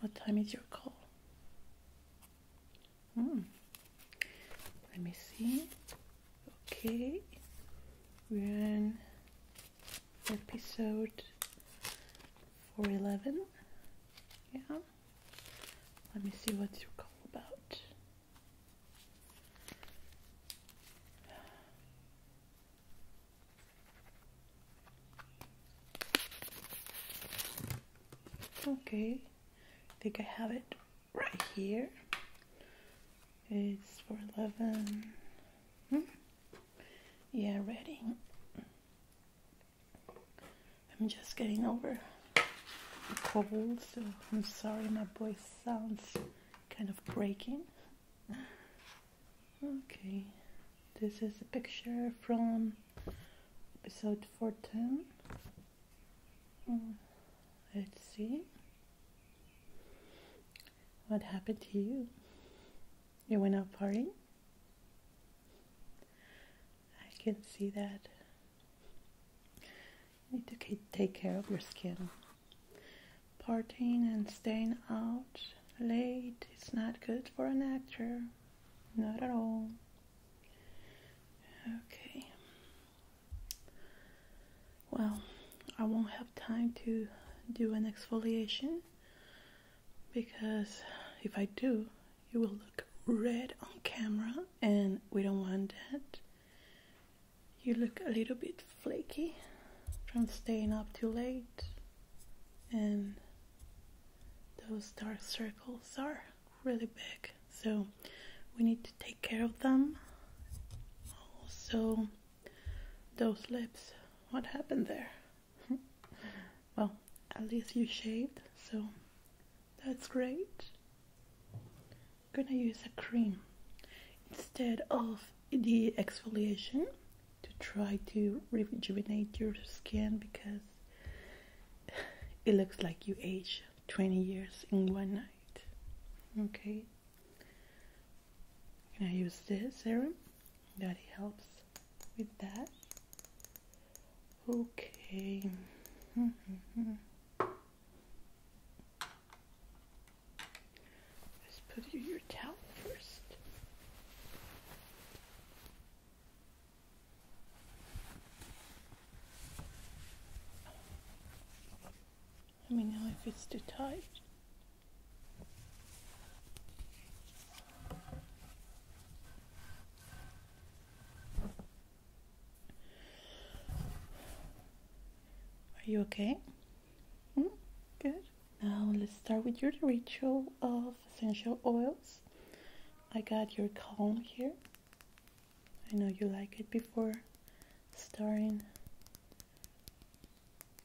What time is your call? Hmm. Let me see. Okay, we episode 411. Yeah. Let me see what's your call about. Okay, I think I have it right here. It's for 11. Hmm? Yeah, ready. I'm just getting over cold, so I'm sorry my voice sounds kind of breaking. Okay, this is a picture from episode 410. Hmm. Let's see. What happened to you? You went out partying? I can see that need to take care of your skin. Partying and staying out late is not good for an actor. Not at all. Okay. Well, I won't have time to do an exfoliation because if I do, you will look red on camera and we don't want that you look a little bit flaky from staying up too late and those dark circles are really big so we need to take care of them also those lips what happened there well at least you shaved so that's great. I'm gonna use a cream instead of the exfoliation to try to rejuvenate your skin because it looks like you age 20 years in one night. Okay. Can i use this serum that helps with that. Okay. Mm-hmm. Let's put in your towel first. Let me know if it's too tight. Are you okay? Mm, good. Now let's start with your ritual of essential oils. I got your comb here. I know you like it before starting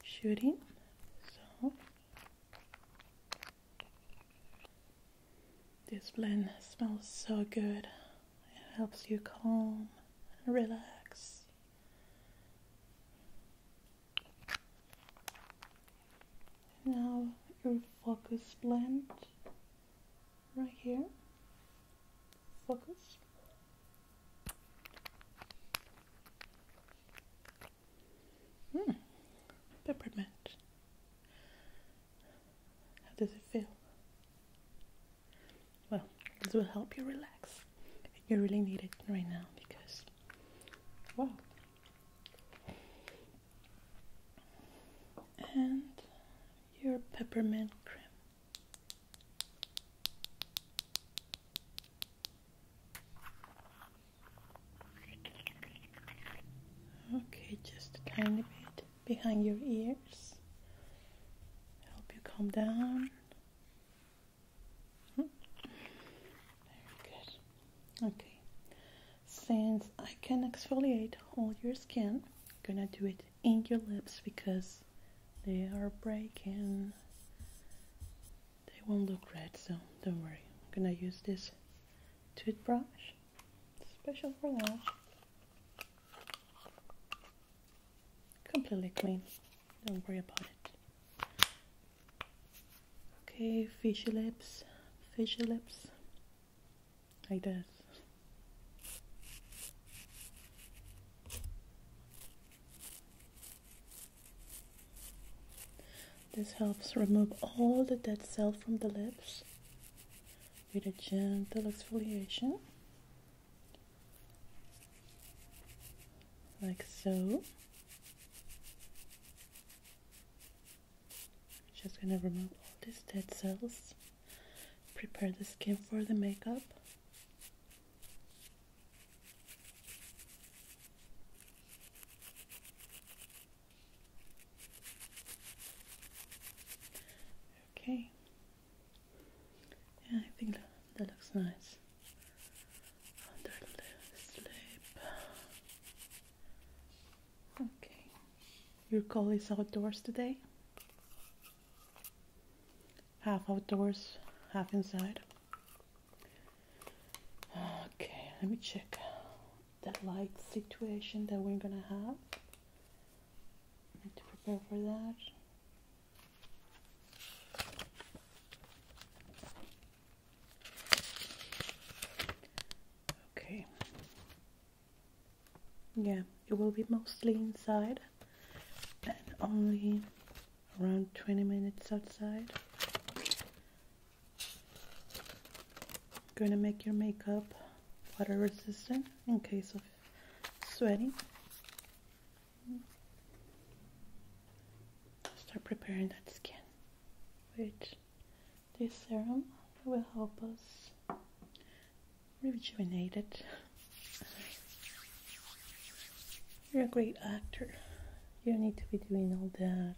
shooting. So this blend smells so good. It helps you calm and relax. Now your focus blend right here. Focus. Hmm. Peppermint. How does it feel? Well, this will help you relax. You really need it right now because, wow. And your peppermint cream. Okay, just a tiny bit behind your ears. Help you calm down. Hmm. Very good. Okay. Since I can exfoliate all your skin, I'm gonna do it in your lips because they are breaking. They won't look red, so don't worry. I'm gonna use this toothbrush, special for that. Completely clean. Don't worry about it. Okay, fishy lips, fishy lips. Like this. This helps remove all the dead cell from the lips with a gentle exfoliation, like so. Just gonna remove all these dead cells, prepare the skin for the makeup. Okay. Yeah, I think that, looks nice. Under the lip. Okay. Your call is outdoors today? Half outdoors, half inside. Okay, let me check that light situation that we're gonna have. I need to prepare for that. Okay. Yeah, it will be mostly inside and only around 20 minutes outside. Gonna make your makeup water resistant in case of sweating. Start preparing that skin, which this serum will help us rejuvenate it. You're a great actor. You don't need to be doing all that,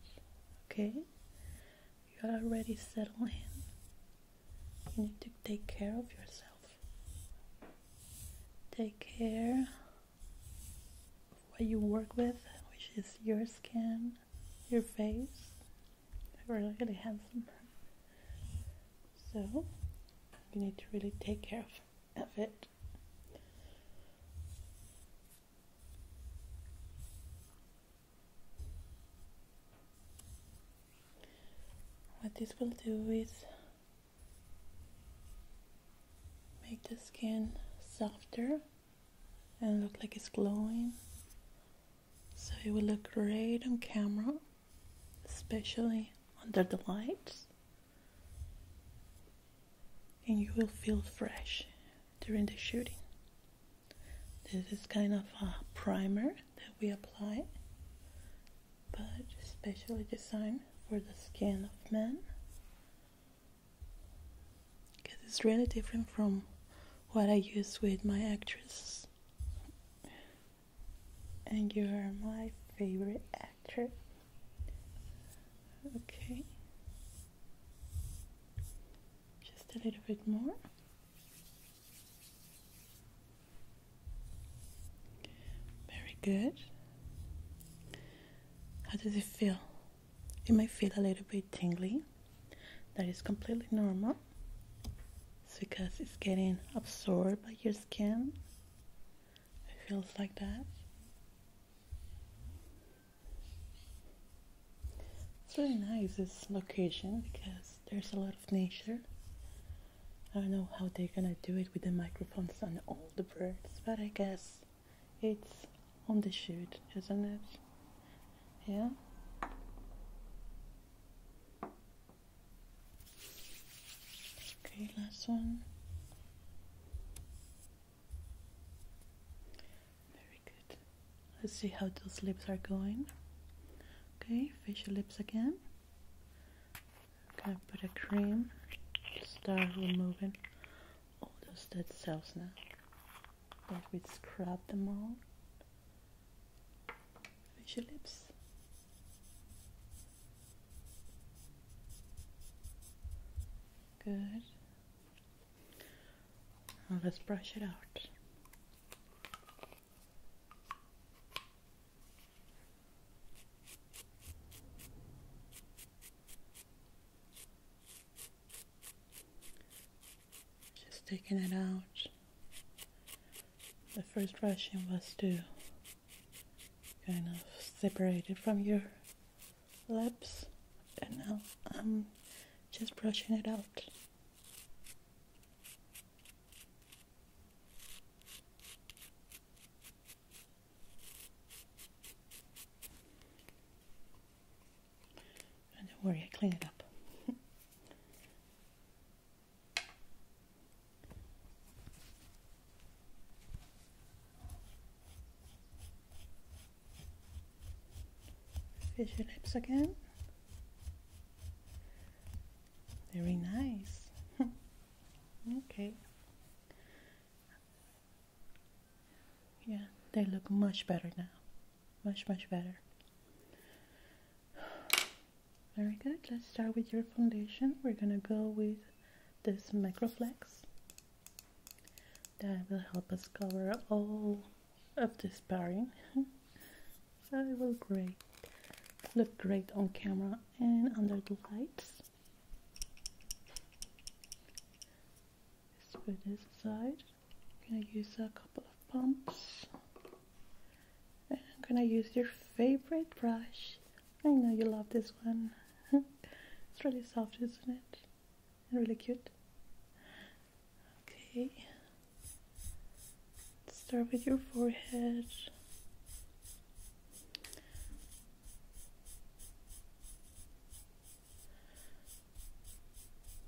okay? you are already settled in. You need to take care of yourself. Take care of what you work with, which is your skin, your face. You're really handsome. So, you need to really take care of, of it. What this will do is make the skin softer and look like it's glowing. So it will look great on camera, especially under the lights. And you will feel fresh during the shooting. This is kind of a primer that we apply, but specially designed for the skin of men. Because it's really different from what I use with my actresses. And you are my favorite actress. Okay. Just a little bit more. Very good. How does it feel? It might feel a little bit tingly. That is completely normal. It's because it's getting absorbed by your skin. It feels like that. It's really nice this location because there's a lot of nature. I don't know how they're gonna do it with the microphones and all the birds, but I guess it's on the shoot, isn't it? Yeah. Okay, last one. Let's see how those lips are going. Okay, facial lips again. I'm gonna put a cream, start removing all those dead cells now let we scrub them all. Facial lips. Good. let's brush it out. Just taking it out. The first rushing was to kind of separate it from your lips, and now I'm just brushing it out don't worry, I clean it up. Fish your lips again. Very nice. okay. Yeah, they look much better now. Much, much better. Very good. Let's start with your foundation. We're going to go with this Microflex. That will help us cover all of this pairing. it will great look great on camera and under the lights. let put this aside. I'm gonna use a couple of pumps. I'm gonna use your favorite brush. I know you love this one. it's really soft, isn't it? And really cute. Okay. Start with your forehead.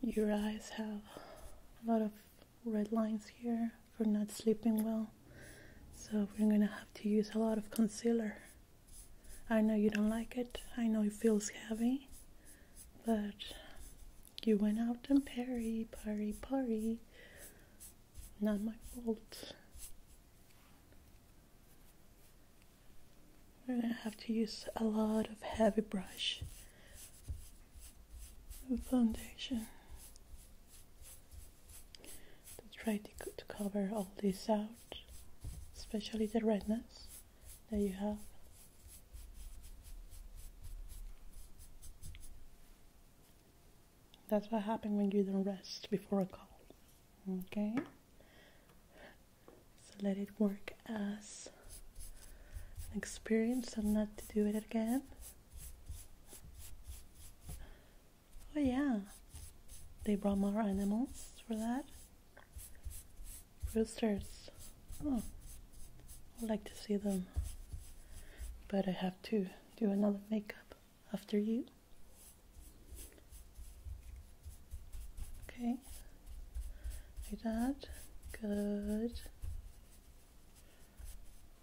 Your eyes have a lot of red lines here from not sleeping well. So we're gonna have to use a lot of concealer. I know you don't like it. I know it feels heavy, but you went out and parry, parry, parry. Not my fault. I'm gonna have to use a lot of heavy brush and foundation to try to, to cover all this out, especially the redness. There you have. That's what happens when you don't rest before a call. Okay? So let it work as an experience and not to do it again. Oh, yeah. They brought more animals for that. Roosters. Oh, I like to see them. But I have to do another makeup after you. Okay. Like that. Good.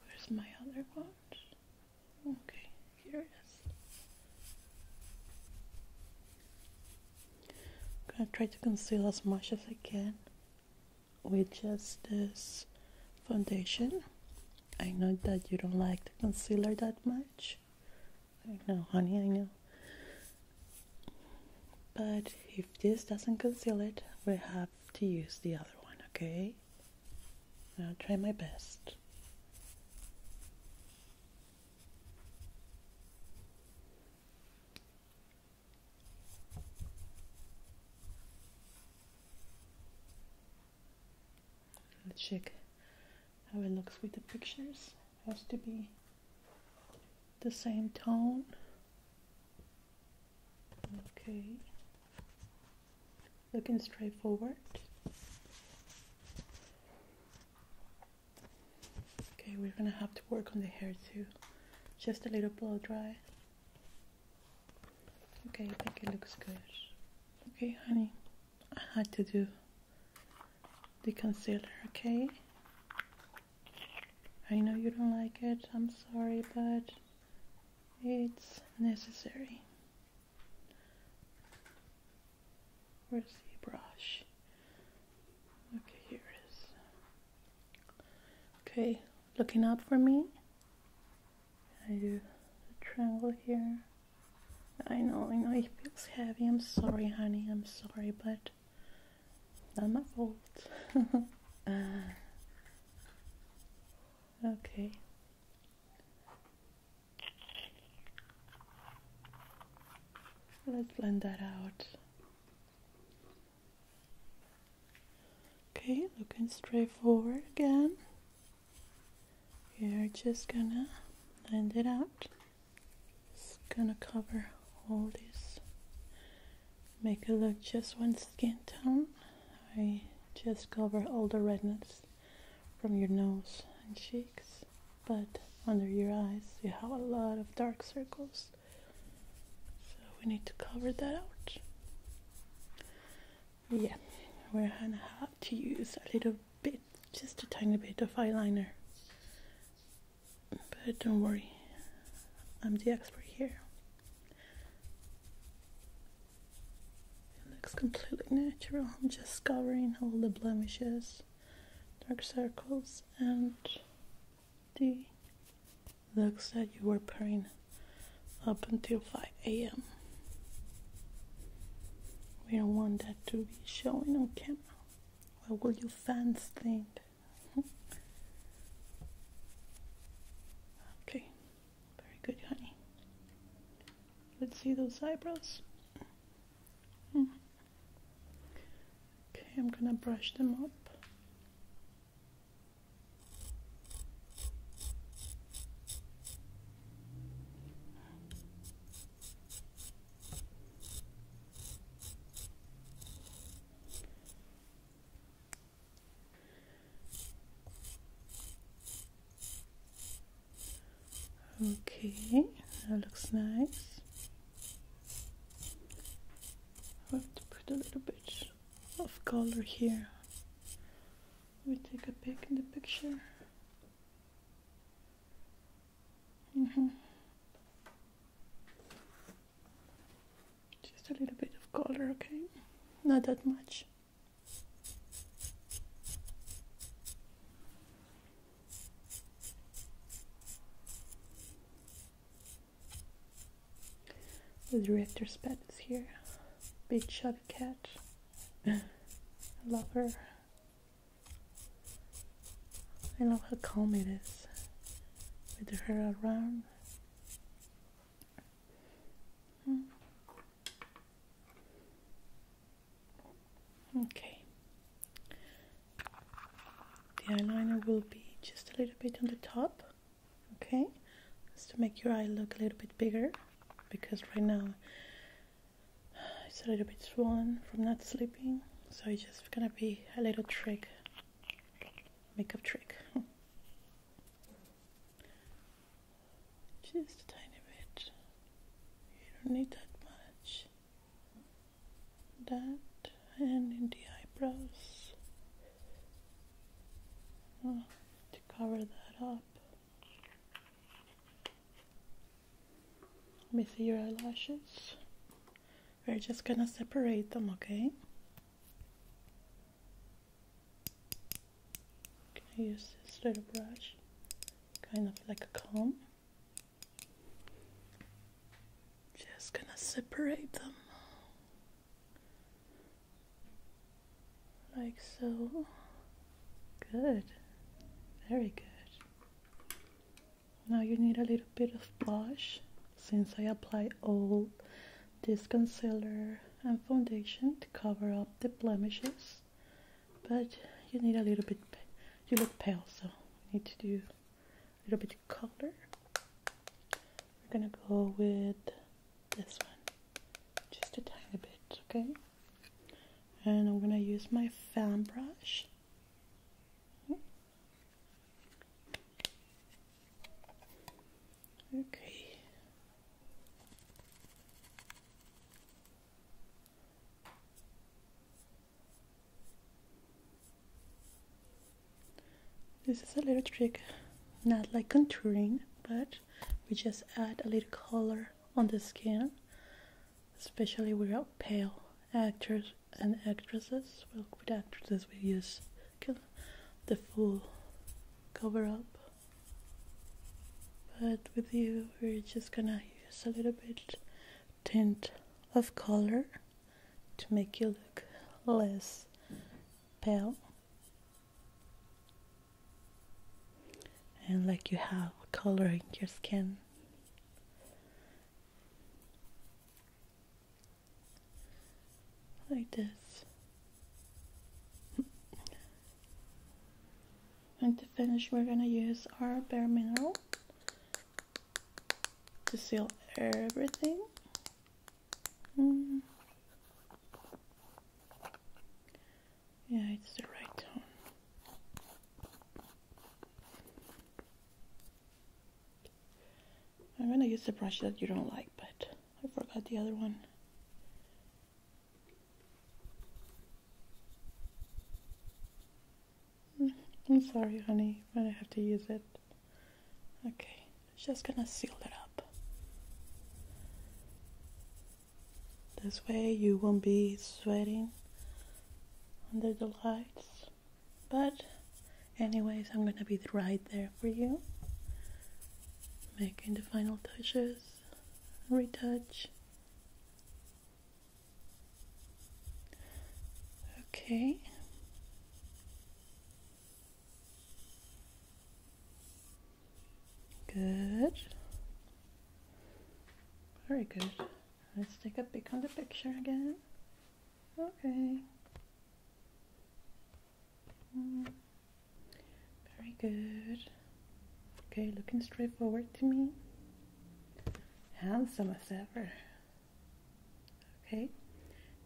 Where's my other one? Okay, here it is. I'm gonna try to conceal as much as I can with just this foundation. I know that you don't like the concealer that much. I know, honey, I know. But if this doesn't conceal it, we have to use the other one, okay? I'll try my best. Let's check how it looks with the pictures. Has to be the same tone. Okay. Looking straightforward. Okay, we're gonna have to work on the hair too. Just a little blow dry. Okay, I think it looks good. Okay, honey, I had to do the concealer, okay? I know you don't like it, I'm sorry, but it's necessary. Where's the brush? Okay, here it is. Okay, looking up for me. I do the triangle here. I know, I know it feels heavy. I'm sorry, honey. I'm sorry, but not my fault. okay. Let's blend that out. Okay, looking straight forward again. You're just gonna blend it out. It's gonna cover all this. Make it look just one skin tone. I just cover all the redness from your nose and cheeks, but under your eyes you have a lot of dark circles. So we need to cover that out. Yeah, we're gonna have to use a little bit, just a tiny bit of eyeliner. But don't worry, I'm the expert here. It looks completely natural. I'm just covering all the blemishes, dark circles, and D. Looks like you were praying up until 5 a.m. We don't want that to be showing on camera. What will your fans think? okay, very good, honey. Let's see those eyebrows. Okay, I'm gonna brush them up. Okay, that looks nice. I have to put a little bit of color here. We take a pic in the picture. Mm -hmm. Just a little bit of color, okay? Not that much. The director's pet is here. Big chubby cat. I love her. I love how calm it is with her around. Hmm. Okay, the eyeliner will be just a little bit on the top okay just to make your eye look a little bit bigger because right now it's a little bit swollen from not sleeping so it's just gonna be a little trick makeup trick just a tiny bit you don't need that much that and in the eyebrows oh, to cover that up. Let me see your eyelashes. We're just gonna separate them, okay? Can I use this little brush? Kind of like a comb. Just going to separate them like so. Good, very good. Now you need a little bit of blush since I apply all this concealer and foundation to cover up the blemishes but you need a little bit you look pale so you need to do a little bit of color. We're gonna go with this one, just a tiny bit, okay? And I'm gonna use my fan brush. Hmm. Okay. This is a little trick, not like contouring, but we just add a little color on the skin, especially with our pale actors and actresses. with actresses, we use the full cover up, but with you, we're just gonna use a little bit tint of color to make you look less pale and like you have coloring your skin like this and to finish we're gonna use our bare mineral to seal everything. Hmm. Yeah, it's the right tone. I'm gonna use the brush that you don't like, but I forgot the other one. I'm sorry, honey, but I have to use it. Okay, just gonna seal it up. This way you won't be sweating under the lights. But, anyways, I'm gonna be right there for you, making the final touches, retouch. Okay. Good. Very good. Let's take a peek on the picture again. Okay. Mm. Very good. Okay, looking straight forward to me handsome as ever. Okay,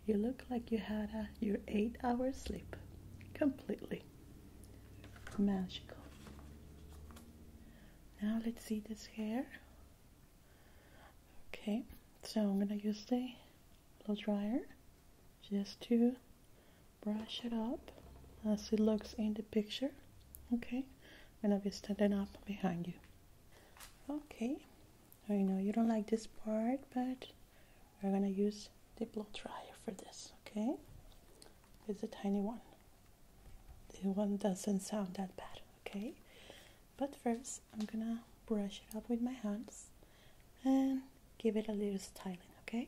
you look like you had your eight hour sleep completely magical. Now let's see this hair. Okay, so I'm gonna use the blow dryer just to brush it up as it looks in the picture. Okay. I'm gonna be standing up behind you okay I know you don't like this part but we're gonna use the blow dryer for this okay it's a tiny one the one doesn't sound that bad okay but first I'm gonna brush it up with my hands and give it a little styling okay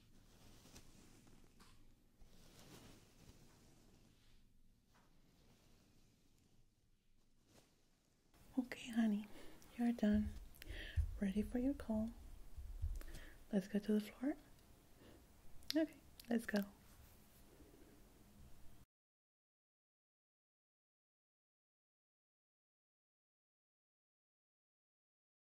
Okay, honey, you're done. Ready for your call. Let's go to the floor. Okay, let's go.